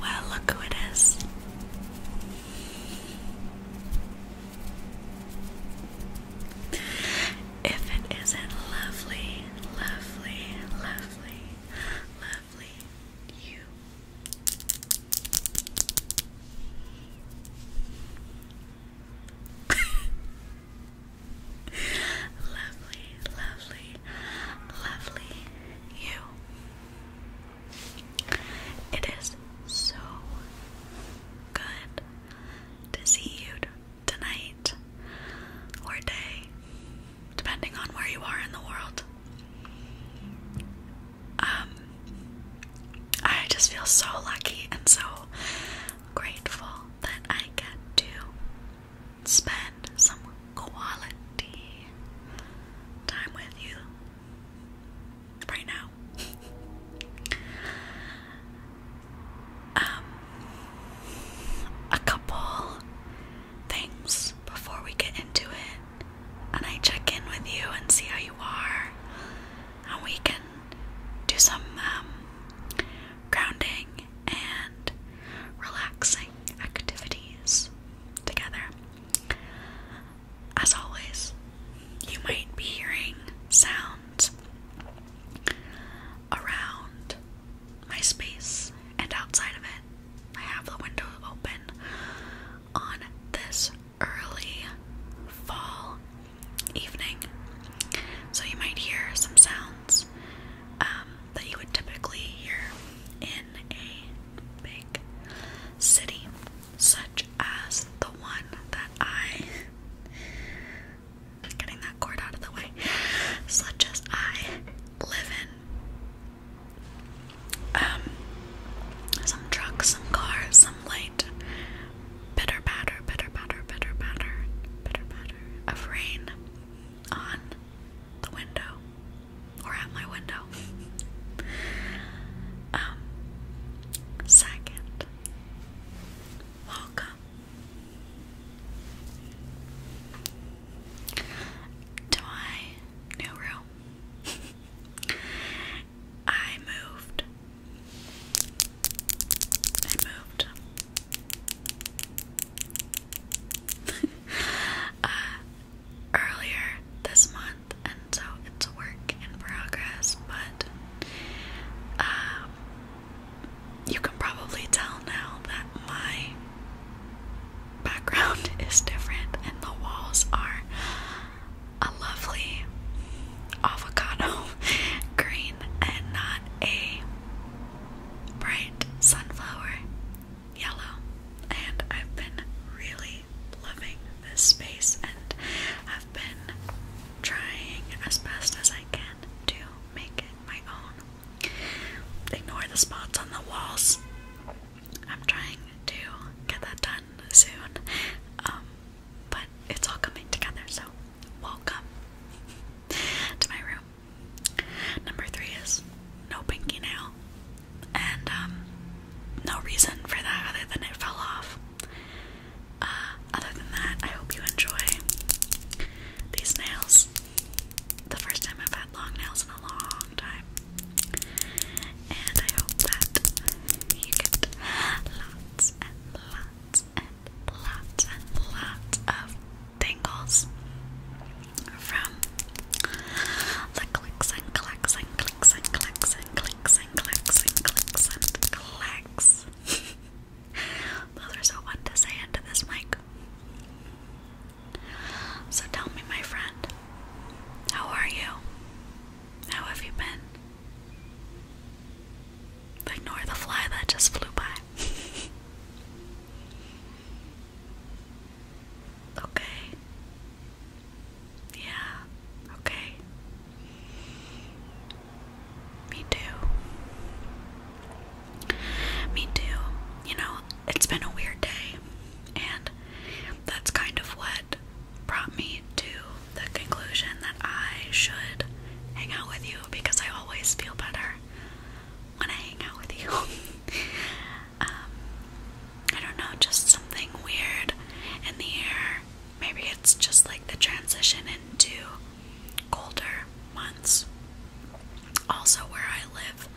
Well, look who it is. If it isn't lovely, lovely, lovely, lovely, you. lovely, lovely, lovely you. It is so good to see you tonight or day, depending on where you are in the world. Um, I just feel so lucky and so grateful that I get to spend some quality time with you right now. um, a couple things before we get into it, and I check in with you and see how you are, and we can do some um, grounding and relaxing activities together. As always, you might be hearing sounds around my space and outside of it. I have the window open on this early fall evening, so you might hear some sounds um, that you would typically hear in a big city, such as the one that I. Getting that cord out of the way, such as I live in. Um, some trucks, some cars, some light, bitter batter, bitter batter, bitter batter, bitter batter of rain, on the window or at my window. um, second, welcome to my new room. I moved. I moved. Uh, earlier this month, and so it's work in progress, but um, you can probably tell now that my background is different, and the walls are a lovely avocado green and not a bright sunflower yellow. And I've been really loving this space, and I've been trying as best as I can to make it my own. Ignore the spots on the walls. I'm trying to get that done soon, um, but it's all coming together, so welcome to my room. Number three is no pinky nail, and um, no reason for that other than it fell off. Uh, other than that, I hope you enjoy these nails. The first time I've had long nails in a long time, and I hope that you get lots and lots and lots and lots of tingles from the clicks and clicks and clicks and clicks and clicks and clicks and clicks and clicks. Those are so fun to say into this mic. So tell me, my friend, how are you? How have you been? Ignore the fly that just flew by. Okay. Yeah, okay. Me too. Me too. You know, it's been a weird day, and that's kind of what brought me to the conclusion that I should hang out with you because I always feel better when I hang out with you. Um, I don't know, just something weird in the air. Maybe it's just like the transition into colder months. Also, where I live,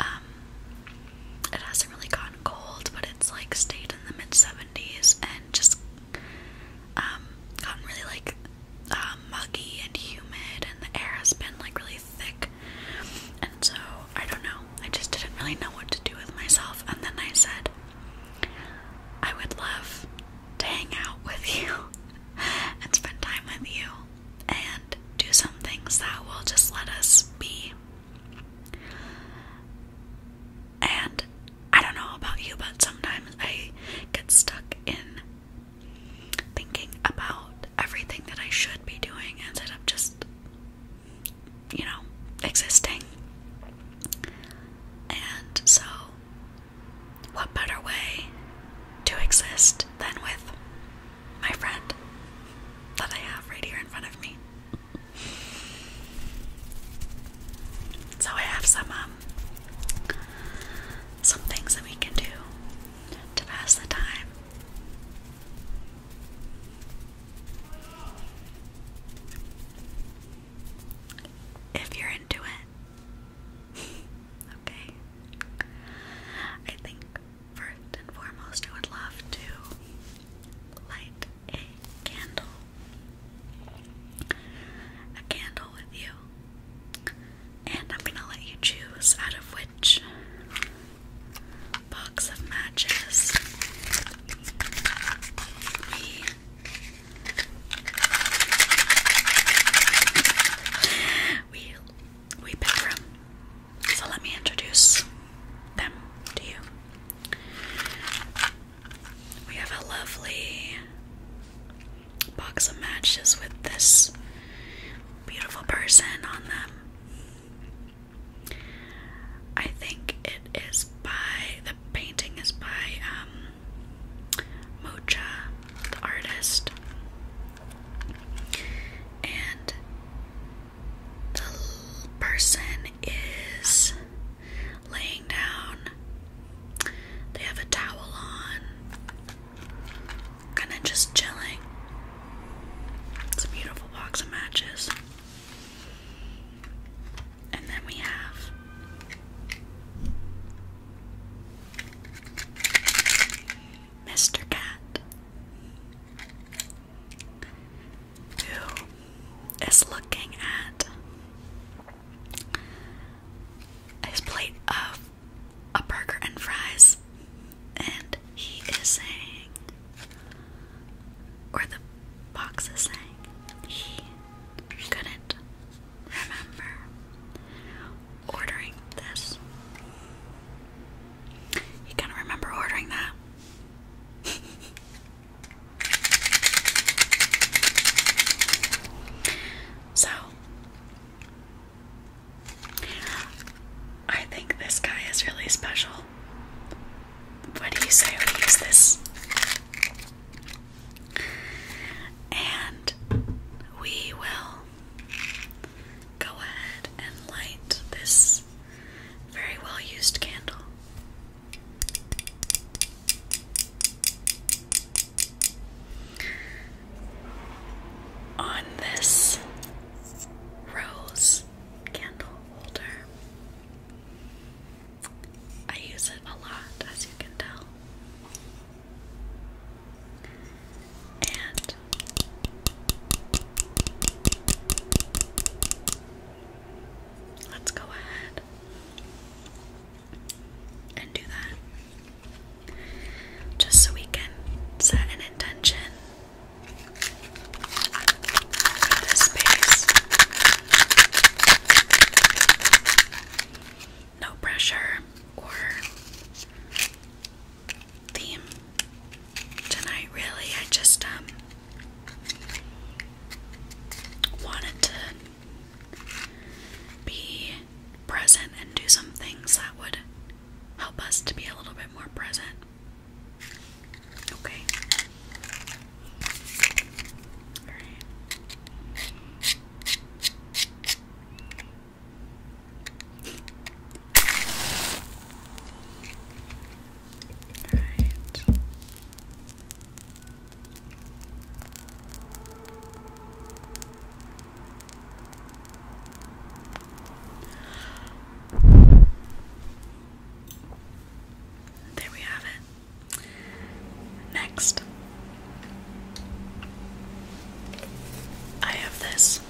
um, it hasn't really gotten cold, but it's like stayed in the mid 70s and just um, gotten really like uh, muggy and humid, and the air has been like really thick. And so, I don't know, I just didn't really know what to do with myself. And then I said, I would love to hang out with you and spend time with you and do some things that will just let us be. And I don't know about you, but sometimes I get stuck in thinking about everything that I should be doing instead of just, you know, existing. And so, what better way to exist than with my friend that I have right here in front of me? So I have some um, some things that we can do to pass the time if you're into it. okay. I think first and foremost, I would love to light a candle. A candle with you. And I'm gonna let you choose out of which box of matches we we pick from. So let me introduce them to you. We have a lovely box of matches with this beautiful person on them. I think it is by the painting is by um Mocha, the artist. And the person is laying down. They have a towel on Kind of just chilling. It's a beautiful box of matches. And then we have Mr. Cat, who is looking at his plate of a burger and fries, and he is saying, or the box is saying, he couldn't remember ordering this. He couldn't remember ordering that. so, I think this guy is really special. What do you say we use this? And we will go ahead and light this very well used candle on this rose candle holder. I use it a lot, as you can tell. And let's go ahead and do that. Just so we can set an intention no pressure or theme tonight, really. I just um wanted to be present and do some things that would help us to be a little bit more present. Okay. All right. There we have it. Next, I have this.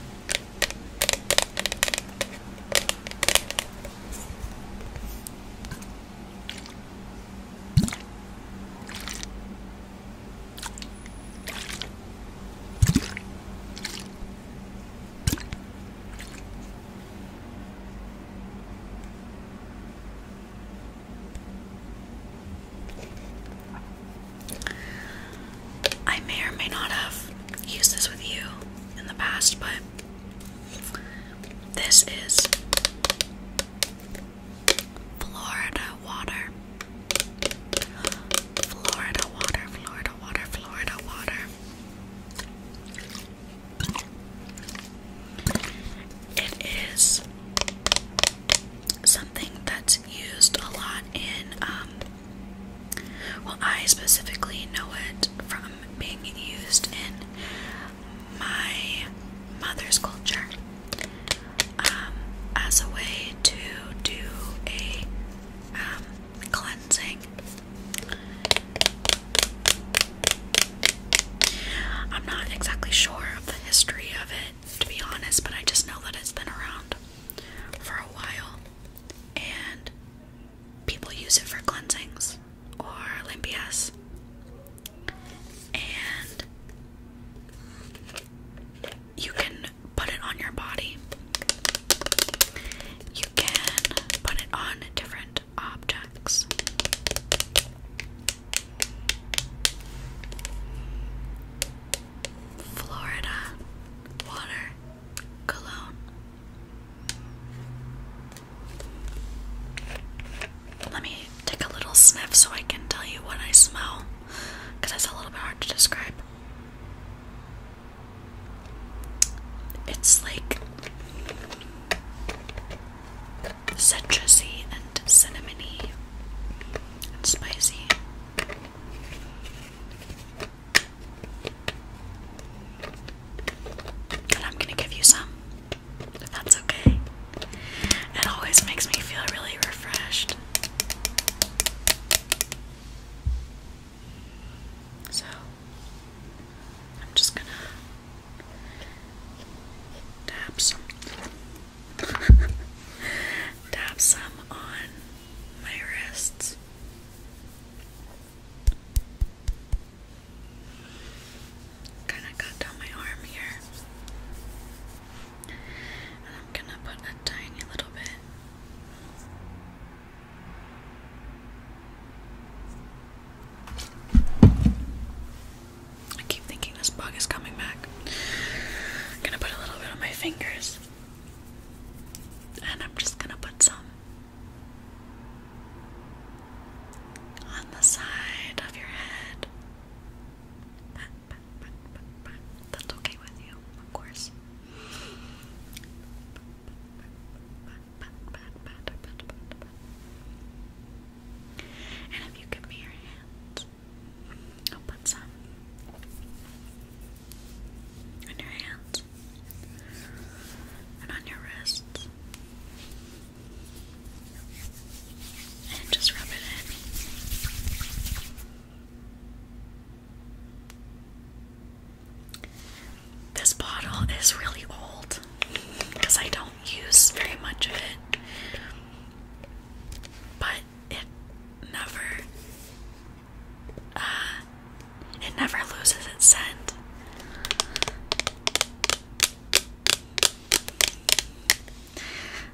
I may or may not have used this with you in the past, but this is Florida water. Florida water, Florida water, Florida water. It is something that's used a lot in, um, well, I specifically know it from being used in my mother's culture um, as a way to do a um, cleansing. I'm not exactly sure of the history of it, to be honest, but I just know that it's been around for a while and people use it for cleansings or limpias. And you can put it on your body. You can put it on different objects. Florida water cologne. Let me take a little sniff so I can tell you what I smell because it's a little bit hard to describe. It's like citrusy and cinnamony and spicy. And I'm gonna give you some, if that's okay. It always makes me feel really refreshed. So I'm just gonna dab some dab some on my wrists. Kinda cut down my arm here. And I'm gonna put a tiny little bit I keep thinking this bug is coming back. I'm gonna put a little bit on my fingers. And I'm just gonna put some on the side of your head. That's okay with you, of course. And if you give me your hands, I'll put some on your hands and on your wrists. And just rub it in. This bottle is really old because I don't use very much of it, but it never uh, it never loses its scent.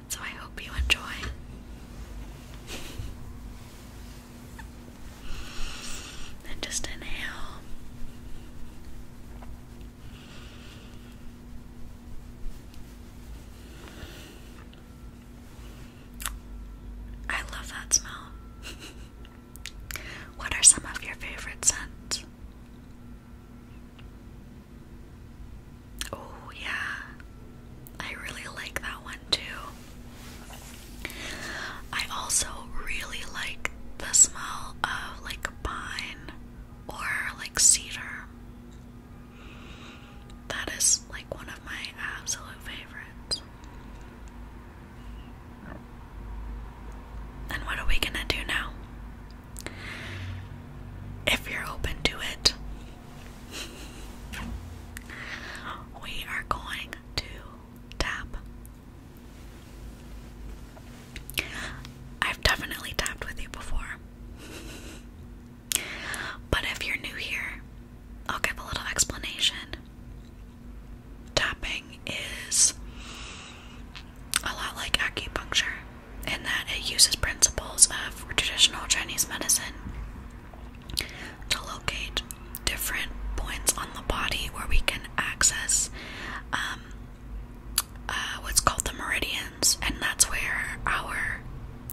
So I hope you enjoy. And just inhale. I love that smell. what are some of your favorite scents? Oh, yeah. I really like that one too. I also really like the smell of like pine or like cedar. That is like one of my absolute favorites. And what are we gonna do now? If you're open to it, we are going to tap. I've definitely tapped with you before. but if you're new here, I'll give a little explanation. Tapping is a lot like acupuncture in that it uses principles of traditional Chinese medicine to locate different points on the body where we can access um, uh, what's called the meridians, and that's where our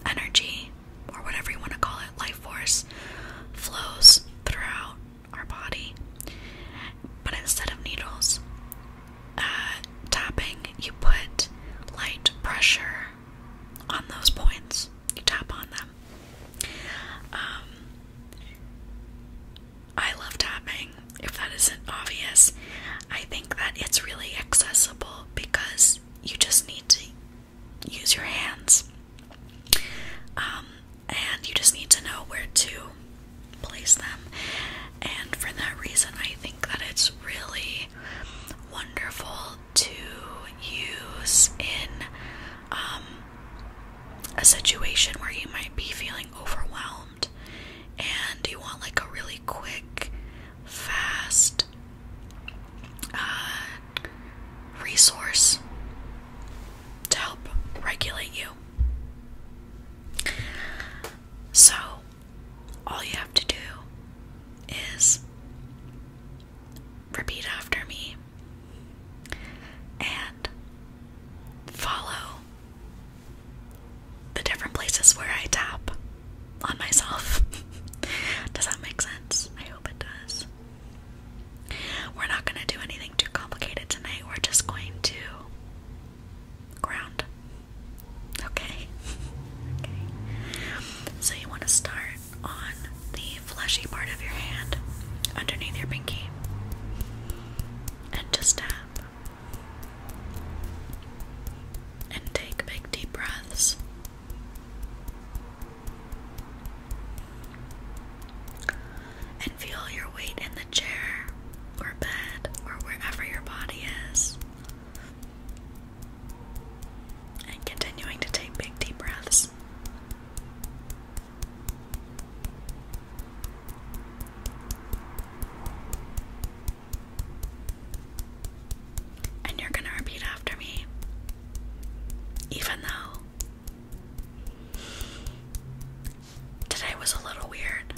energy, or whatever you want to call it, life force, flows throughout our body. But instead of needles uh, tapping, you put light pressure on those points. You tap on them. Um, I love tapping, if that isn't obvious. I think that it's really accessible because you just need to use your hands. Um, and you just need to know where to place them. And for that reason, I think that it's really wonderful to use in um, a situation where you might be feeling overwhelmed and you want like a really quick, fast uh, resource to help regulate you. So, all you have to do is repeat after me and follow the different places where I tap on myself. does that make sense? I hope it does. We're not going to do anything too complicated tonight. We're just going to ground. Okay? okay. So you want to start on the fleshy part of your hand underneath your pinky and just tap. And take big deep breaths. And feel your weight in the chair or bed or wherever your body is and continuing to take big deep breaths. And you're going to repeat after me, even though today was a little weird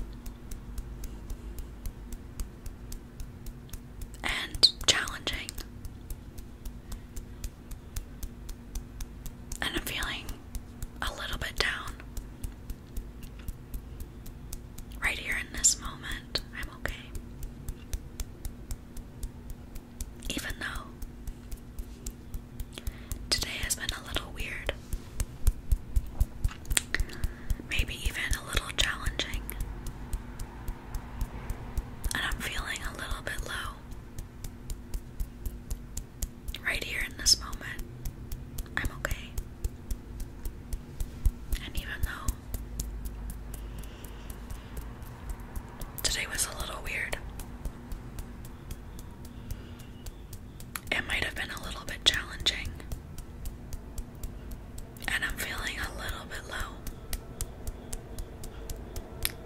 and challenging. And I'm feeling a little bit down. Right here in this moment, I'm okay. Even though today has been a little weird, maybe even a little challenging, and I'm feeling a little bit low. Right here in this moment, I'm okay. And even though today was a little weird, it might have been a little bit challenging, and I'm feeling a little bit low.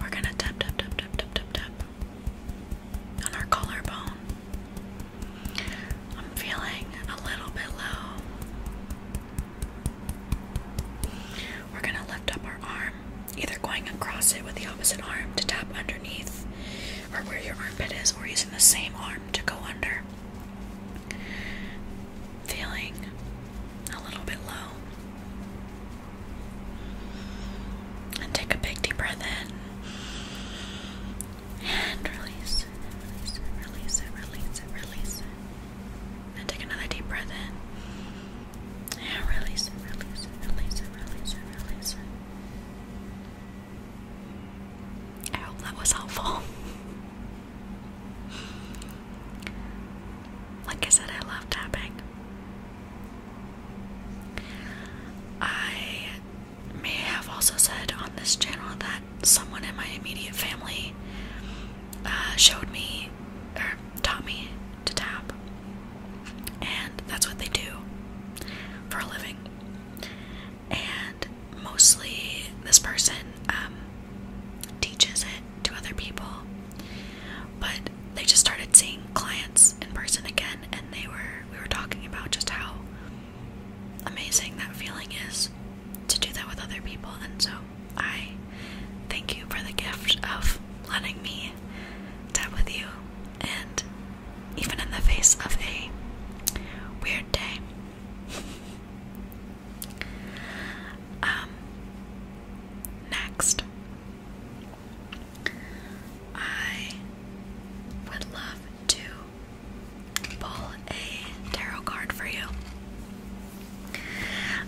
We're gonna tap, tap, tap, tap, tap, tap, tap on our collarbone. I'm feeling a little bit low. We're gonna lift up our arm, either going across it with the opposite arm to tap underneath or where your armpit is, or using the same arm to go under feeling a little bit low. And take a big deep breath in and release, release, release it, release it, release it. And take another deep breath in and release it, release it, release it, release it, release it. I hope that was helpful. Like I said, I love tapping. I may have also said on this channel that someone in my immediate family uh, showed me or taught me to tap, and that's what they do for a living. And mostly, this person um, teaches it to other people. But they just started seeing clients in person again, and they were we were talking about just how amazing that feeling is to do that with other people. And so I thank you for the gift of letting me tap with you, and even in the face of a weird day, Um, next, I would love to pull a tarot card for you.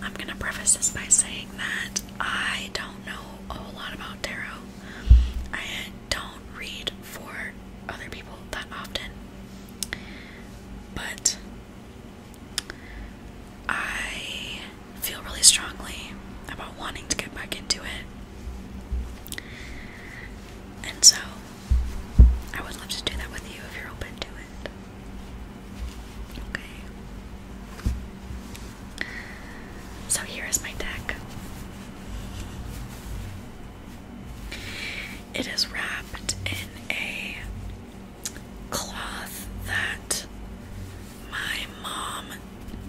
I'm going to preface this by saying that I don't know a lot about tarot. I don't read for other people that often. But I feel really strongly about wanting to get back into it. And so, I would love to do that with you if you're open to it. Okay. So, here is my deck. It is wrapped in a cloth that my mom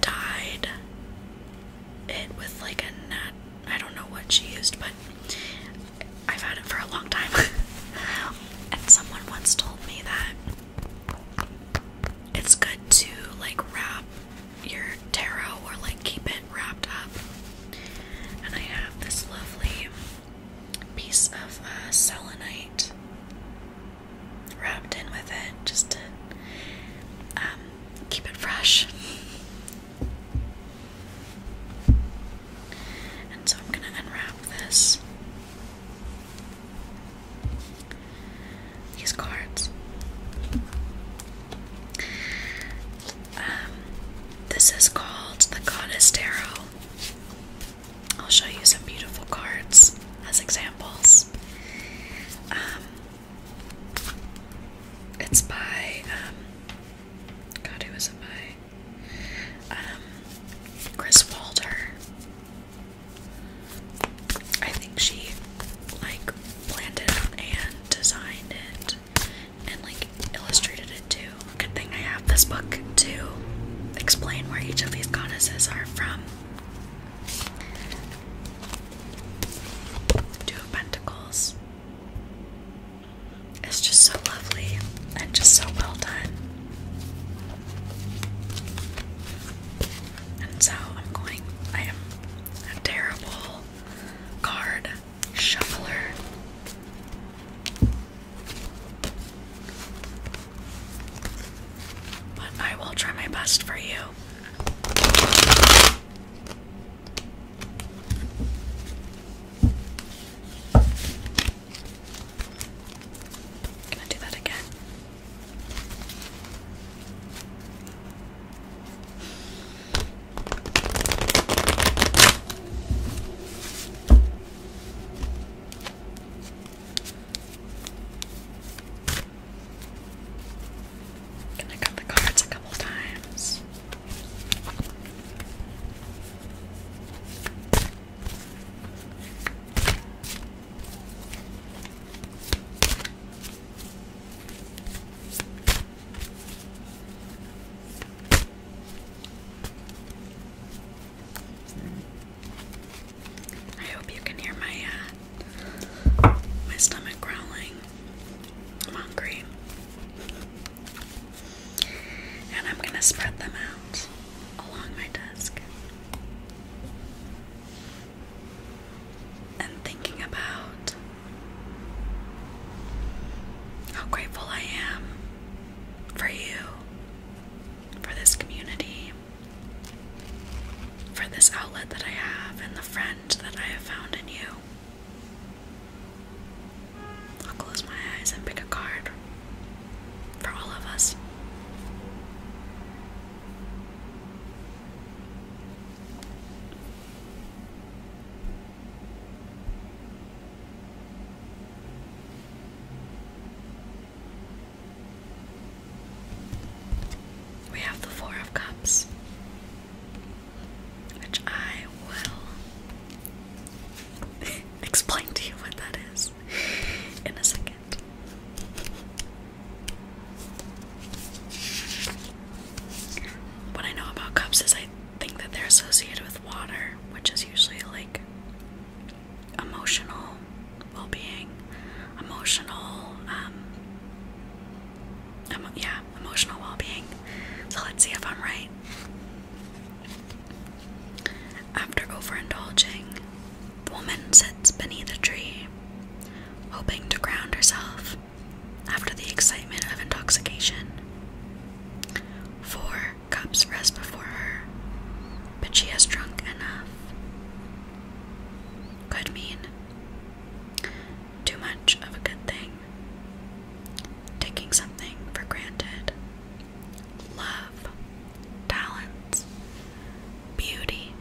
dyed it with like a nat I don't know what she used, but I've had it for a long time. and someone once told me that it's good to like wrap your tarot or like keep it wrapped up. And I have this lovely piece of uh, selenite wrapped in with it just to um, keep it fresh. And so I'm going to unwrap this. These cards. Um, this is called the Goddess Tarot. I'll show you some beautiful cards as examples. Um, it's by, um, God, who is it by? Chris Walter. I think she, like, planned it and designed it and like illustrated it too. Good thing I have this book to explain where each of these goddesses are from. Two Pentacles. It's just so lovely and just so well done. And so I'm going, I am a terrible card shuffler. But I will try my best for you. Can I do that again? Can I cut the cards a couple times? I hope you can hear my uh, my stomach growling. I'm hungry, and I'm gonna spread them out along my desk. And thinking about how grateful I am for you, for this community, for this outlet that I have, and the friend that I have found in you. I'll close my eyes and pick a card for all of us. We have the Four of Cups, which I will explain to you what that is in a second. What I know about cups is I think that they're associated with water, which is usually like emotional well-being, emotional, um, yeah, emotional well-being. So let's see if I'm right. After overindulging, the woman sits beneath a tree, hoping to ground herself after the excitement of intoxication. 4 cups rest before her, but she has drunk enough. Could mean too much of a good thing, taking something for granted, love, talents, beauty,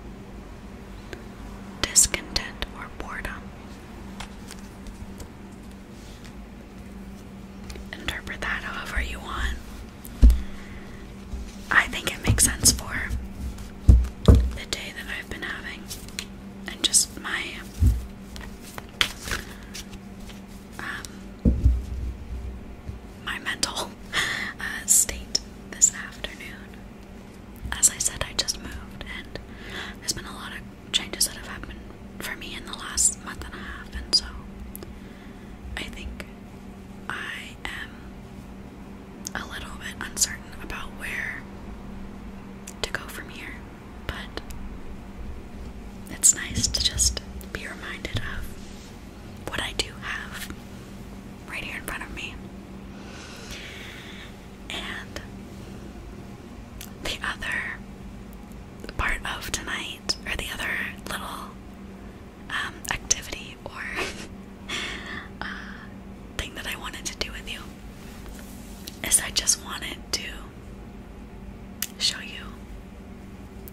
discontent, or boredom interpret that however you want. I think it makes sense for the day that I've been having and just my um my mental uh, state this afternoon. As I said, I just moved and there's been a lot of changes that have happened for me in the last month and a half, and so I think I am a little bit uncertain about where to go from here, but it's nice to just be reminded of what I do have right here in front of me. And the other part of tonight or the other little um, activity or uh, thing that I wanted to do with you is I just wanted to show you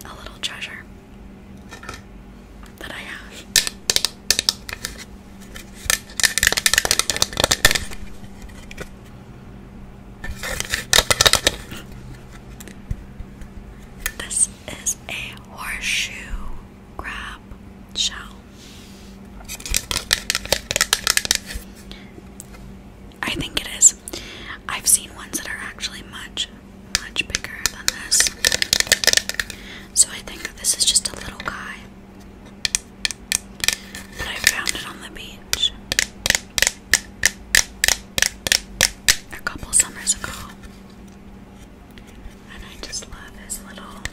a little treasure that I have. This is a horseshoe crab shell. I think it is. I've seen ones that are actually much, much bigger than this. So I think this is just a little guy. But I found it on the beach a couple summers ago. And I just love his little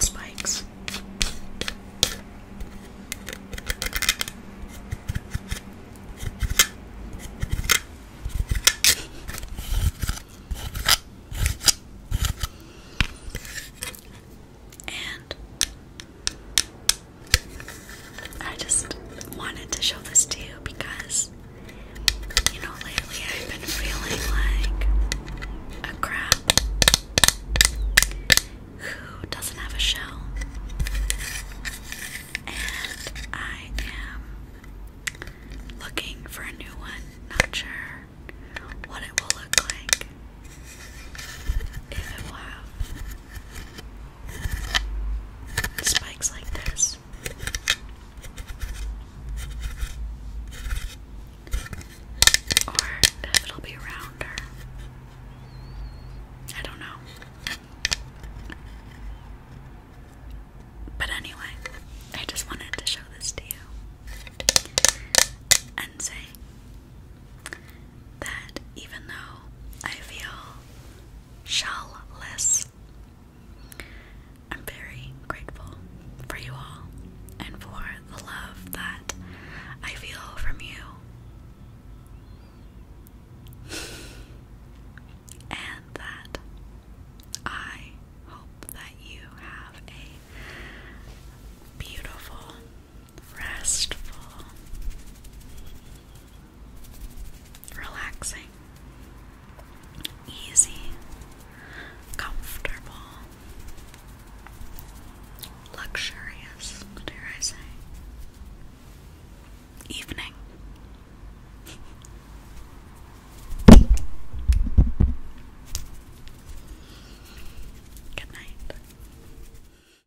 spikes. And I just wanted to show this to you because, you know, lately I've been feeling like a crab who doesn't have a shell. And I am looking for a new one, not sure what it will look like. If it will have spikes like this. Or if it'll be rounder. I don't know. But anyway, I just wanted to show this to you and say that even though I feel shellless, I'm very grateful for you all and for the love that I feel from you. and that I hope that you have a beautiful restful, relaxing, easy, comfortable, luxurious, dare I say, evening. Good night.